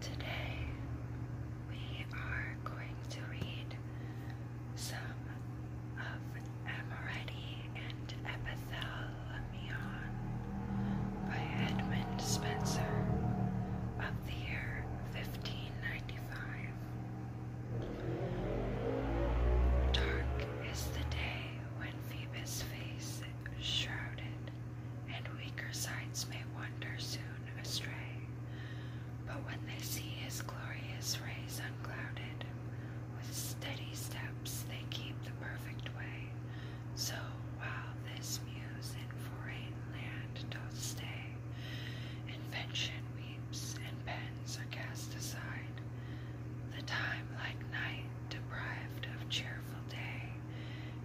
Today we are going to read some of Amoretti and Epithalamion by Edmund Spenser of the year 1595. Dark is the day when Phoebus' face is shrouded, and weaker sights may wander soon astray. But when they see his glorious rays unclouded, with steady steps they keep the perfect way. So while this muse in foreign land does stay, invention we and pens are cast aside. The time like night, deprived of cheerful day,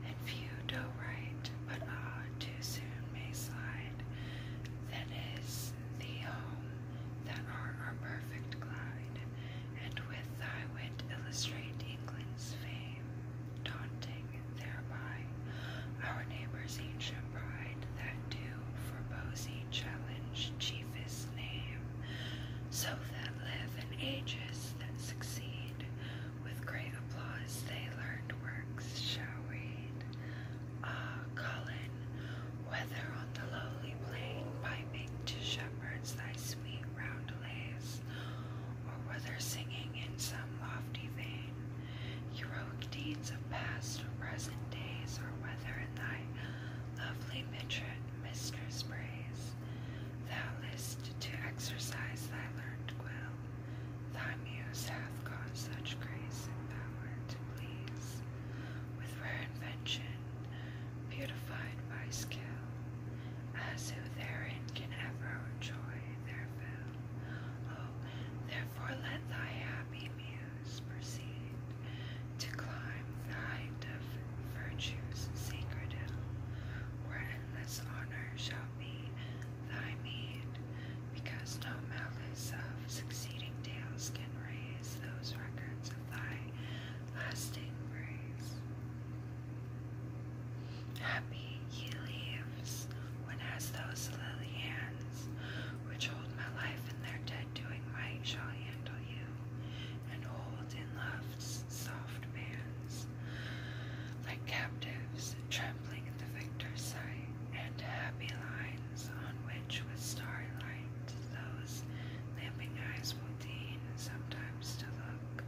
and few do write, but ah, too soon may slide. Then is the home that are our perfect glide, and with thy wit illustrate England's fame, daunting thereby our neighbor's ancient pride that do for Posey challenge, chiefest name, so that live in ages that succeed. With great applause they learned works shall read. Ah, Colin, whether on the lowly plain, piping to shepherds thy sweet roundelays, or whether singing in some lofty vein, heroic deeds of past or present days, or whether thy lovely mistress' praise. Thou list to exercise thy learned will. Thy muse hath got such grace and power to please. With rare invention, beautified by skill, as who therein can ever enjoy their fill. Oh, therefore let thy happy muse proceed to climb the height of virtue's sacred hill, where endless honor shall be thy meed, because no malice of succeeding tales can raise those records of thy lasting grace. Happy he lives when as those lily hands, which hold my life in their day, and doing right shall handle you, and hold in love's soft bands, like captives trembling at the victor's sight, and happy lines on which with starry light those lamping eyes will deign sometimes to look,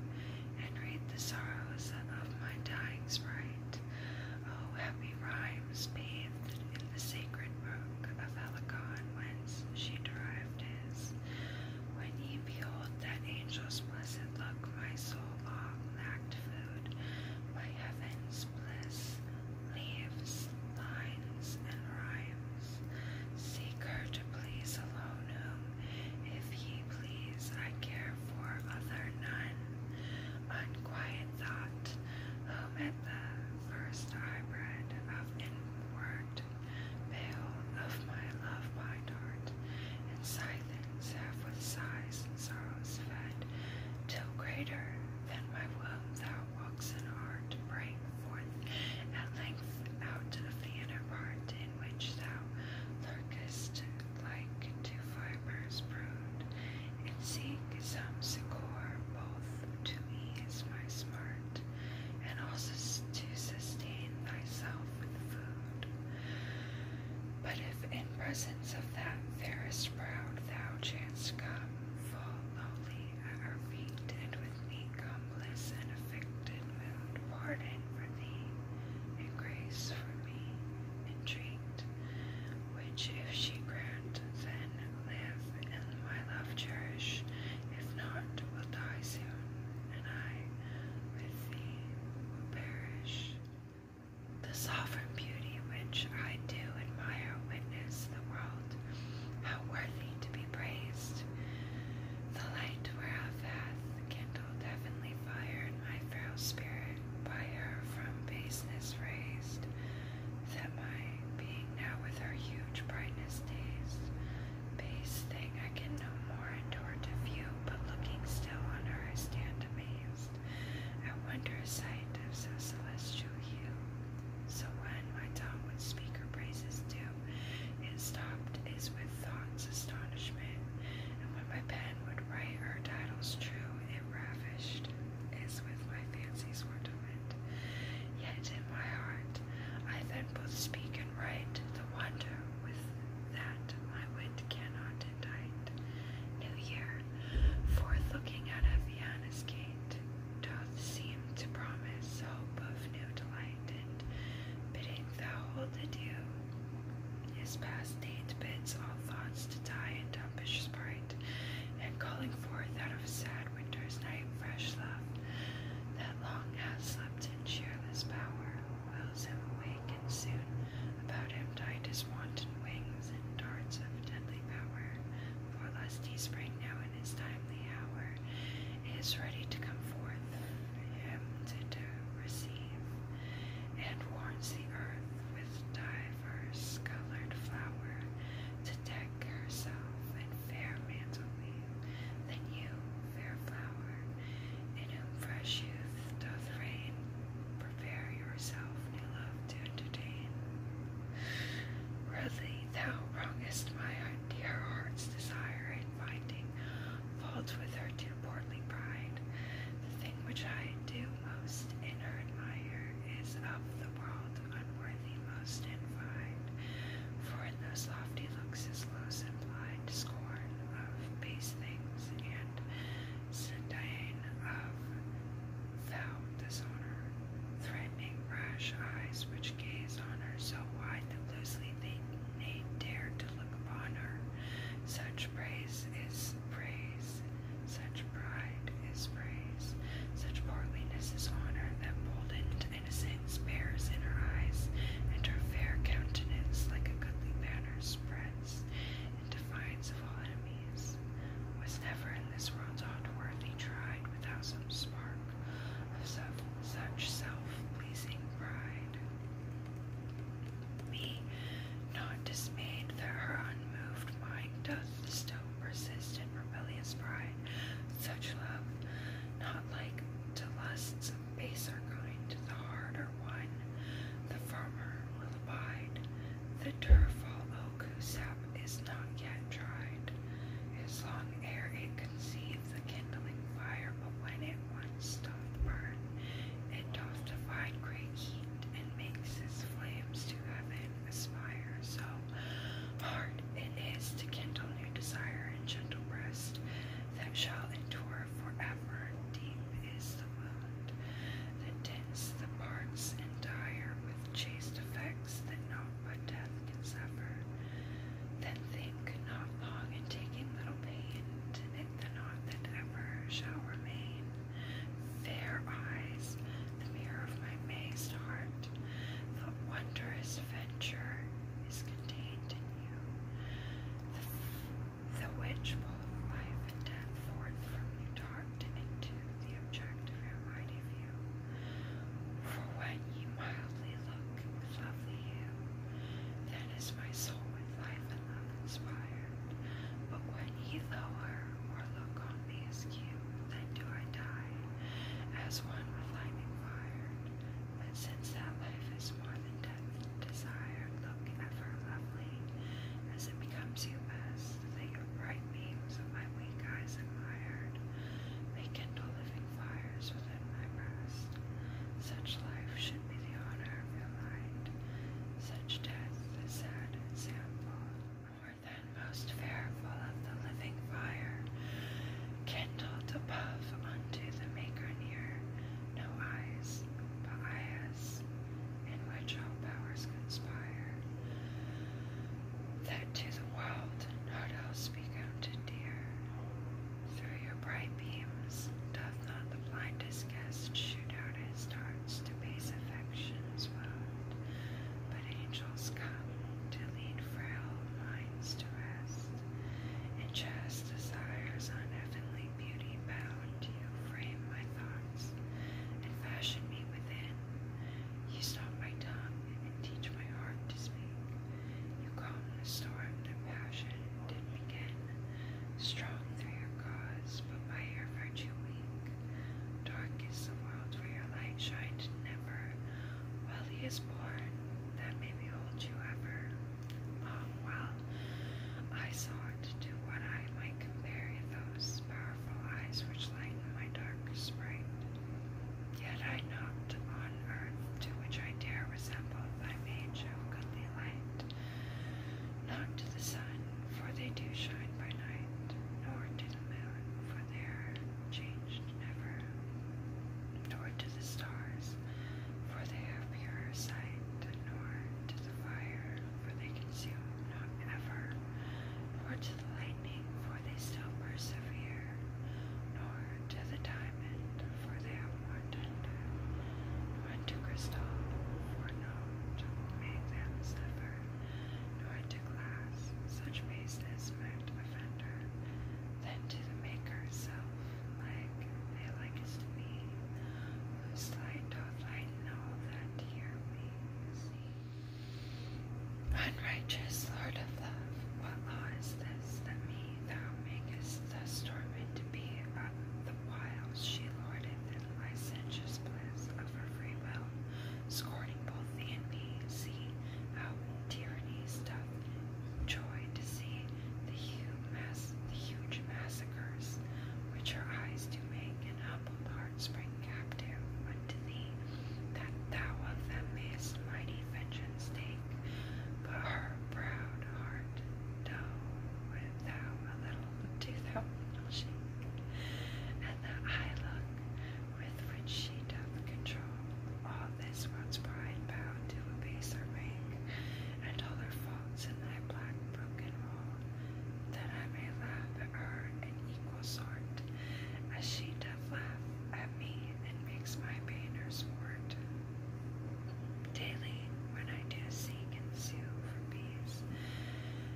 and read the sorrows of my dying sprite. Oh, Happy rhymes bathed in the sacred brook of Helicon, whence she derived his. When ye behold that angel's blessed look, my soul long lacked food, my heaven's bliss, leaves, lines, and rhymes. Seek her to please alone whom, if ye please, I care for other none. Unquiet thought, whom at first hybrid of inward veil of my love by dart, and scythings have with sighs and sorrows fed, till greater than my womb thou walks in art, bring forth at length out of the inner part in which thou lurkest like to fibres brood and seek some succour both to ease my smart and also to sustain thyself with food. But if in presence of that fairest proud thou chance come, fall lowly at her feet, and with me comeliss and affected mood, pardon for thee, and grace for me, entreat, which if she grant, then live and my love cherish. If not, will die soon, and I with thee will perish. The sovereign beauty which I do admire witness the world, how worthy to be praised. The light whereof hath kindled heavenly fire in my frail spirit, by her from baseness raised that my being now with her huge brightness days, base thing I can no more endure to view, but looking still on her I stand amazed at wonder sight of so celestial hue. So when my tongue would speak her praises too, it stopped is with thought's astonishment, and when my pen would write her titles true, it ravished touched as with my fancies were torment. Yet in my heart I then both speak and write the wonder with that my wit cannot indict. New Year, forth looking out of Vienna's gate, doth seem to promise hope of new delight, and bidding thou hold adieu. His past date bids all thoughts to die and die ambitious part, and calling forth out of sad winter's night fresh love that long has slept in cheerless power, wills him awake, and soon about him died his wanton wings and darts of deadly power. For lest he spring now in his timely hour, is ready to come forth, him to, receive, and warns the earth with dire diverse colored flower to deck herself in fair mantle leaf you, fair flower, in whom fresh youth doth reign. Prepare yourself, new love, to entertain. Really, thou wrongest my dear heart's desire in finding fault with her too portly pride, the thing which I do most in her admire is of the world unworthy most and invite, for in those lofty looks is low sublimed scorn of base things, and sedine of foul dishonor, threatening rash eyes which gaze on her so wide that loosely they nay dare to look upon her. Such praise is praise, such pride is praise, such portliness is honor, that boldened innocence bears in her eyes, and her fair countenance, like a goodly banner, spreads in defiance of all enemies. Was never in this world's aught worthy tried without some spark of such self pleasing pride. Me, not dismayed that her unmoved mind doth still persist in rebellious pride, such love, not like to lusts of baser kind, the harder one, the firmer will abide. The dureful oak whose sap is not yet dried, is long ere it conceive the kindling fire, but when it once doth burn, it doth divide great heat and makes its flames to to heaven aspire. So hard it is to kindle new desire in gentle breast that shall endure forever. Deep is the wound that dints the parts and dire with chaste effects that naught but death can suffer. Then think not long in taking little pain to knit the knot that ever shall remain. Fair eyes, the mirror of my mazed heart, the wondrous venture is contained in you, the, the which both life and death forth from you dart into the object of your mighty view. For when you mildly look with lovely hue, then is my soul with life and love inspired. But when ye lower or look on me as cute, then do I die, as one flaming fired. But since that life is more than death desired, look ever lovely, as it becomes you best, that bright beams of my weak eyes admired, may kindle living fires within my breast. Such life should be the honor of your light, such death the sad example, or than most fearful of the living fire, kindled above unto the Maker near, no eyes, but eyes, in which all powers conspire, that to the world not else be to dear. Through your bright beams doth not the blindest guest shoot out his darts to base affections wound, but angels come to lead frail minds to rest, and just desires on heavenly beauty bound you frame my thoughts and fashion me within. You stop my tongue and teach my heart to speak. You calm the storm that passion did begin, strong through your cause, but by your virtue weak. Dark is the world where your light shined never, while he is born, that may behold you ever. Long um, while I sought to what I might compare those powerful eyes which lighten my dark sprite. Yet I not on earth to which I dare resemble thy mage of goodly light. Not to the sun, for they do shine by night, nor to the moon, for their change changed ever to the stars, for they have purer sight, nor to the fire, for they consume not ever, nor to the lightning, for they still persevere, nor to the diamond, for they are more tender, nor to crystal, for no to make them suffer, nor to such faces meant offender, then to the maker's self, like they likest me, whose light doth lighten all that here we see. Unrighteous Lord of love, what law is this that me thou makest thus torment to be, uh, the while she lorded in licentious bliss of her scorning both the and me, see how tyranny doth joy to see the huge, massacres which her eyes do make, and humbled hearts spring captive unto thee, that thou of them mayest mighty vengeance take. But her proud heart doeth thou a little, do thou shake, and that I look with which she doth control all this once pride bound to abase baser rank, and all her faults in thy black broken roll, that I may laugh at her in equal sort, as she doth laugh at me and makes my pain her sport. Daily, when I do seek and sue for peace,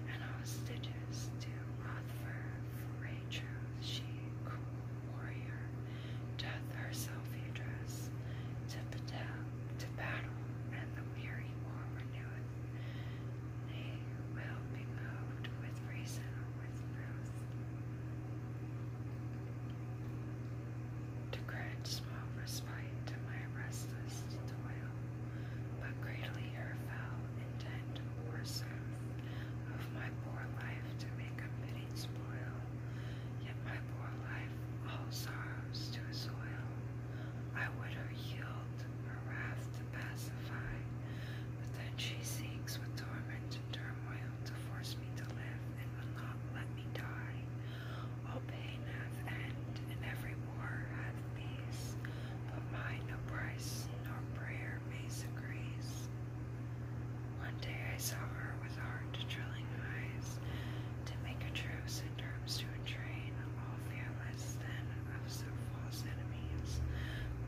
and hostages do wrath for ranger, she, cool warrior, doth herself address to the to battle, and the weary war reneweth. Nay, will be moved with reason or with truth. To grant small respite to my restless toil, but greatly her fell intent or of my poor life to make a fitting spoil, yet my poor life all sorrows to soil. I would her yield, her wrath to pacify, but then she seeks with torment and turmoil to force me to live and will not let me die. All pain hath end, and every war hath peace, but mine no price nor prayer. One day I saw her with hard drilling eyes to make a truce in terms to entrain, all fearless then of so false enemies,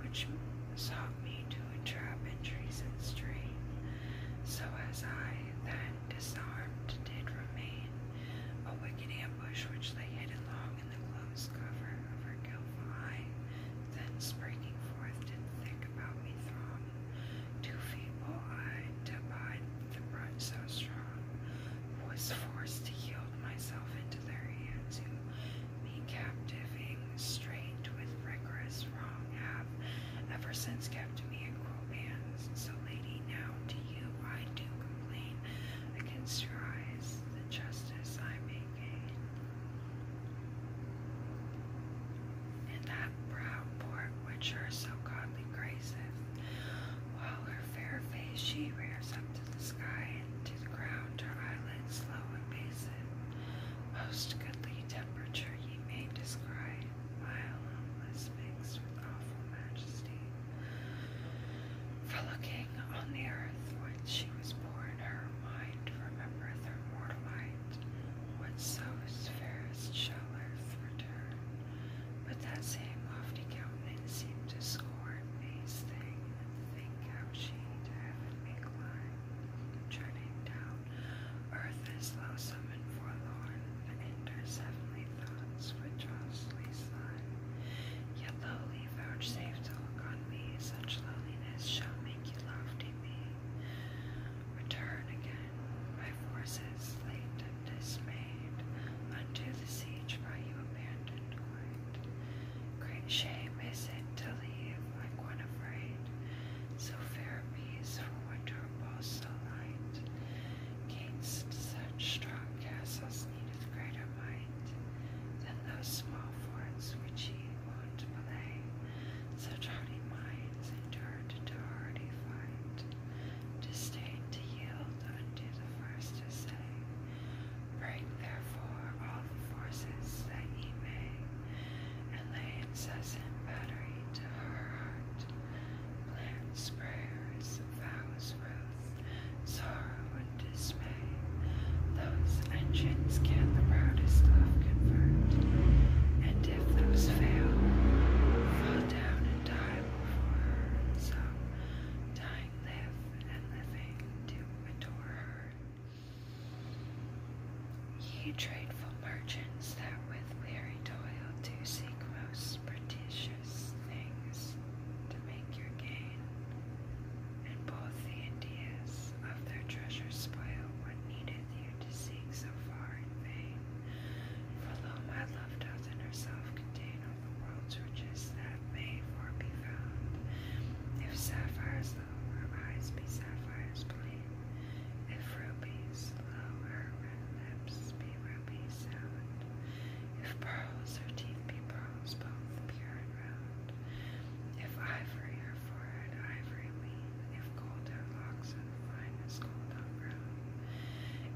which sought me to entrap in treason strain. So as I then disarmed did remain, a wicked ambush which they hid long in the close cover of her eye, then breaking forth did thick about me throng, too feeble I to abide the brunt so strong, was forced to yield myself into their hands, who me captivating strained with rigorous wrong have ever since kept me in cruel bands. So, lady, now to you I do complain against your eyes the justice I make and that proud port which her so godly graces, while her fair face she rears up to the sky and to the ground, her eyelids slow and basin. Most goodly temperature ye may describe, while homeless mixed with awful majesty. For looking on the earth when she was born, Lord her mind remembereth her mortal light. Whatso is fairest shall earth return. But that same lofty countenance seemed to scorn these things. Think how she to heaven may climb, treading down earth as loathsome and forlorn. Enters heavenly thoughts with jostly slime. Yet lowly be vouchsafed to look on me, such loneliness shall make you lofty me. Return again, my forces late and dismayed, unto the siege by you abandoned Great shame is it to leave, my one afraid, so fair a piece for winter pulse so light. Against such strong castles needed greater might than those small forts which ye would play such hardy minds endure to do hardy fight, disdain to yield unto the first essay. Bring therefore all the forces that ye may, and lay incessant battery to her heart, plants, prayers, vows, ruth, sorrow, and dismay. Those engines get the proudest love confirmed, and if those fail, fall down and die before her, and dying live, and living do adore her. Ye tradeful merchants that with weary toil do seek most prodigious things to make your gain, and both the Indies of their treasure spoil what needed you to seek so far in vain. For lo, my love doth in herself contain all the world's riches that may for be found. If sapphires, lo, her eyes be sapphires plain. If rubies, lo, her red lips be rubies sound. If pearls, her teeth be pearls both pure and round. If ivory her forehead ivory we; if gold her locks and fine as gold on brown,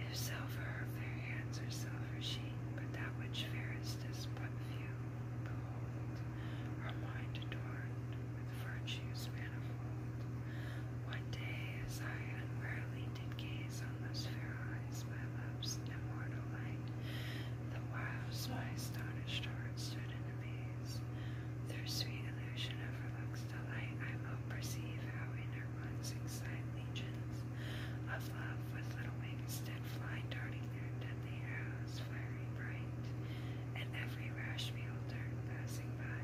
if silver her fair hands are silver sheen, but that which fairest is but few, behold, her mind adorned with virtues manifold. One day as I unwarily did gaze on those fair eyes, my love's immortal light, the whiles my astonished heart stood in amaze. Through sweet illusion of relaxed delight, I will perceive how inner ones excite legions of love with little wings that fly, darting there, their the arrows, fiery bright, at every rash beholder passing by.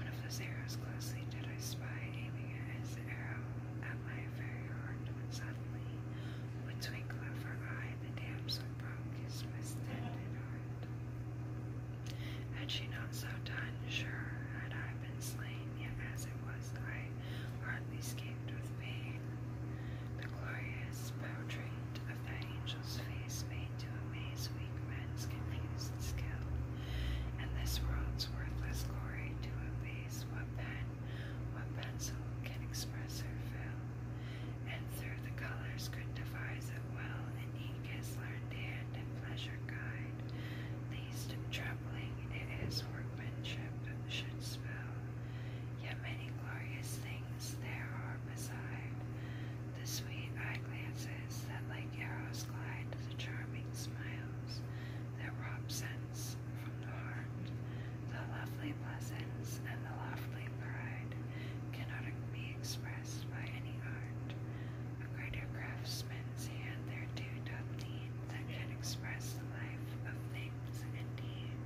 One of those arrows closely did I spy, aiming at his arrow at my very heart, when suddenly, with twinkle of her eye, the damsel the Had she not so done, sure had I been slain, yet as it was, I hardly escaped with pain. The glorious portrait of that angel's face made to amaze weak men's confused skill, and this world's worthless glory to abase what pen, what pencil can express her fill and through the colors could devise it well, and he is learned hand and pleasure guide. Least troubling it is workmanship should spell, yet many glorious things there are beside. The sweet eye glances that like arrows glide, the charming smiles that rob sense from the heart. The lovely pleasance and the lovely pride cannot be expressed by any art. A greater craftsman's hand there doth need that can express the life of things indeed.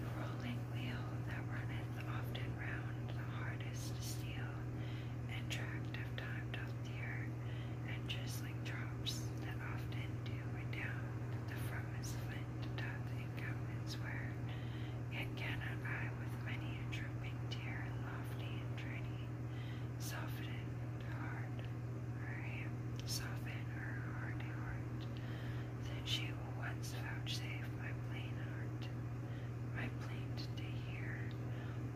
The rolling wheel that runneth often round the hardest steel, and tract of time doth tear, and chiseling drops that often do redound the firmest flint. England doth incumbents wear, yet cannot I with many a drooping tear and lofty and tiny soften hard her hand, soften her heart, then she will once vouchsafe my plain heart, my plaint to hear,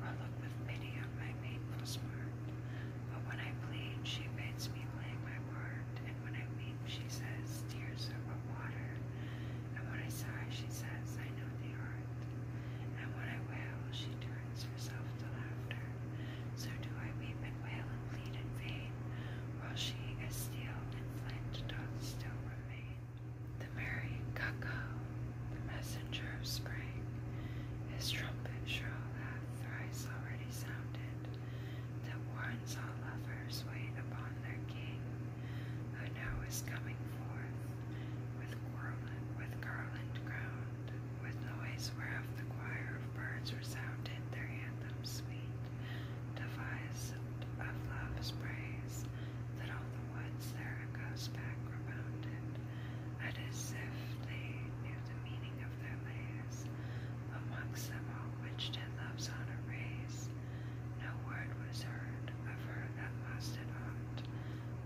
or look with pity on my painful smart. But when I plead, she bids me play my part when I weep, she says, tears are but water. And when I sigh, she says, I know the art. And when I wail, she turns herself to laughter. So do I weep and wail and plead in vain, while she is steel and flint doth still remain. The merry cuckoo, the messenger of spring, his trumpet shrill hath thrice already sounded, that warns all lovers wait upon their king, who now is coming forth, with garland, with garland crowned, with noise whereof the choir of birds resounded their anthems sweet, devised of love's praise, that all the woods their echoes back rebounded, and as if they knew the meaning of their lays, amongst them all which did love's honor raise. No word was heard of her that lost it aught,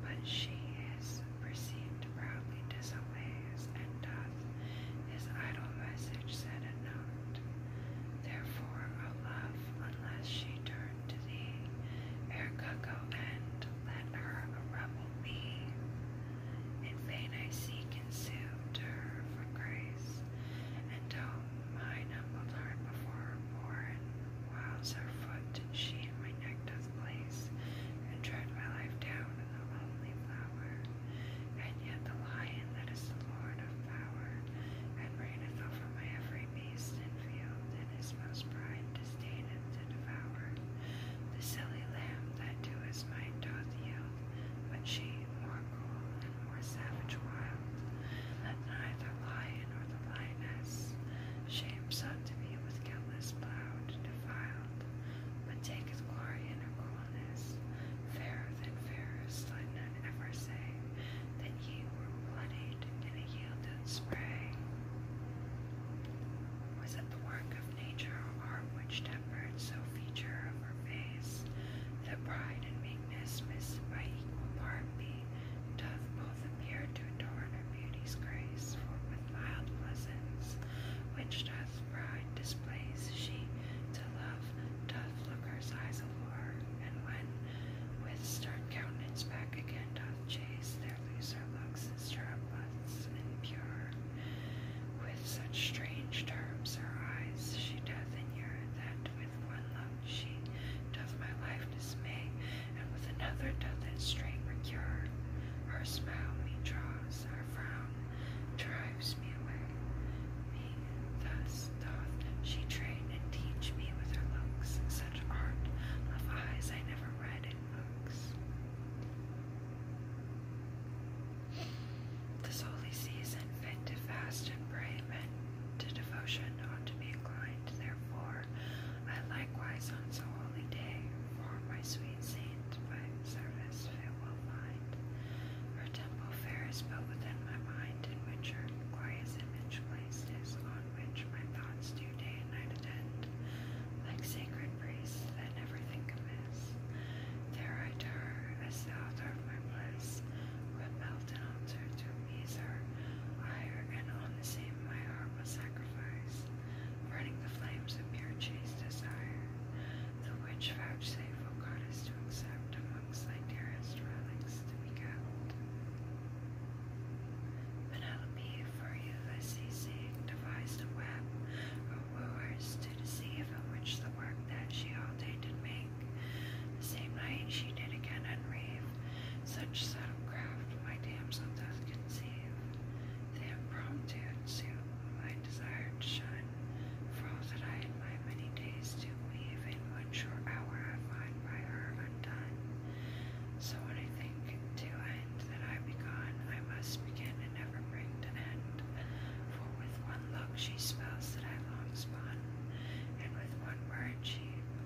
but she is perceived proudly disobeys, and doth his idle message set at not. Therefore, O love, unless she turn to thee, ere cuckoo end, let her a rebel be. In vain I seek and sue to her for grace, and oh, mine humbled heart before her born, whiles her foot she in my neck doth place, and tread my life down in the lonely flower. And yet the lion that is the Lord of power, and reigneth over my every beast and field, and his most pride disdaineth to devour. The silly lamb that to his might doth yield, but she more cruel, and more savage wild, that neither lion nor the lioness shames sought to be with countless plowed, defiled, but taketh glory in her coolness, fairer than fairest, let none ever say that ye were bloodied in a yielded spray. Was it the work of nature or art which temperance so feature of her face, that pride and meekness missed by equal part be, doth both appear to adorn her beauty's grace, for with mild pleasance, which doth pride displays, she to love doth look her sighs allure, and when with stern countenance back again doth chase, their looser looks and stirruplets and pure, with such strange terms her eyes she doth in inure that with one look she doth my life dismay and with another doth it straight recure her smile me draws her frown drives me away me thus doth she train and teach me with her looks such art of eyes I never read in books this holy season fit to fast and pray meant to devotion ought to be inclined, therefore I likewise on so holy day for my sweet saint by service I will find. Her temple fair is built within my mind, in which her glorious image placed on which my thoughts do day and night attend, like sacred priests that never think amiss. There I turn, as the author of my bliss would melt an altar to appease her ire, and on the same my heart was sacrificed, burning the flames of pure chaste desire, the which vouchsafe, O goddess, to accept amongst thy dearest relics to be kept. Penelope, for you Ulysses' sake, devised a web of wooers to deceive and which the work that she all day did make. The same night she did again unreave, such subtle craft my damsel doth conceive. The impromptu suit my desire to shun, for all that I in my many days to weave, in one short hour I find by her undone. So when I think to end that I be I must begin and never bring to end. For with one look she spells that I long spun, and with one word she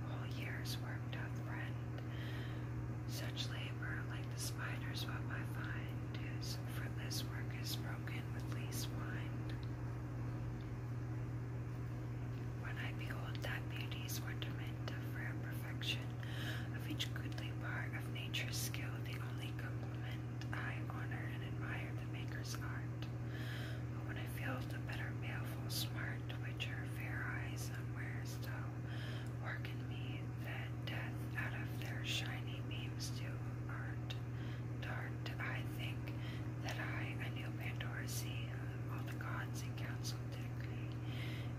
whole year's work doth rend. Such labor, like the spider's web I find, is fruitless work is broken with least wind. When I behold that beauty's wonderment of rare perfection, of each goodly part of nature's skill, the only compliment I honor and admire the maker's art. But when I feel the better baleful which her fair eyes unwares do work me, that death out of their shiny beams do art dart, I think that I, a new Pandora, see all the gods in council decree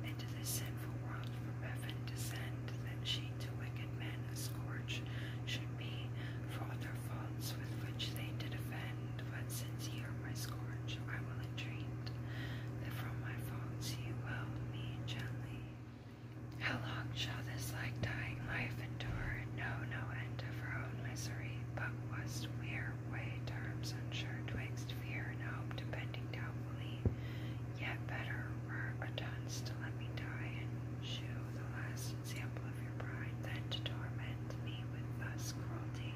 into the sinful world from heaven descend, that she to wicked men a should be, for microphones with which they did offend, but since ye are my scourge, I will entreat that from my faults ye will me gently. How long shall this like dying life endure? No, no end of her own misery, but was wear way terms unsure twixt fear and hope, depending doubtfully. Yet better were a dunce to let me die and shew the last example of your pride, then to torment me with thus cruelty,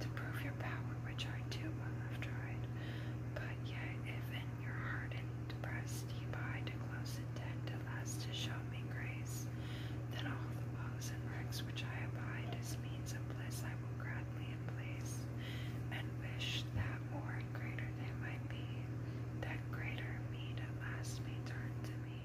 to prove your power, which I too well have tried. But yet, if in your hardened breast ye bide a close intent at last to show me grace, then all the woes and wrecks which I abide as means of bliss I will gladly emplace, and wish that more and greater they might be, that greater meed at last may turn to me.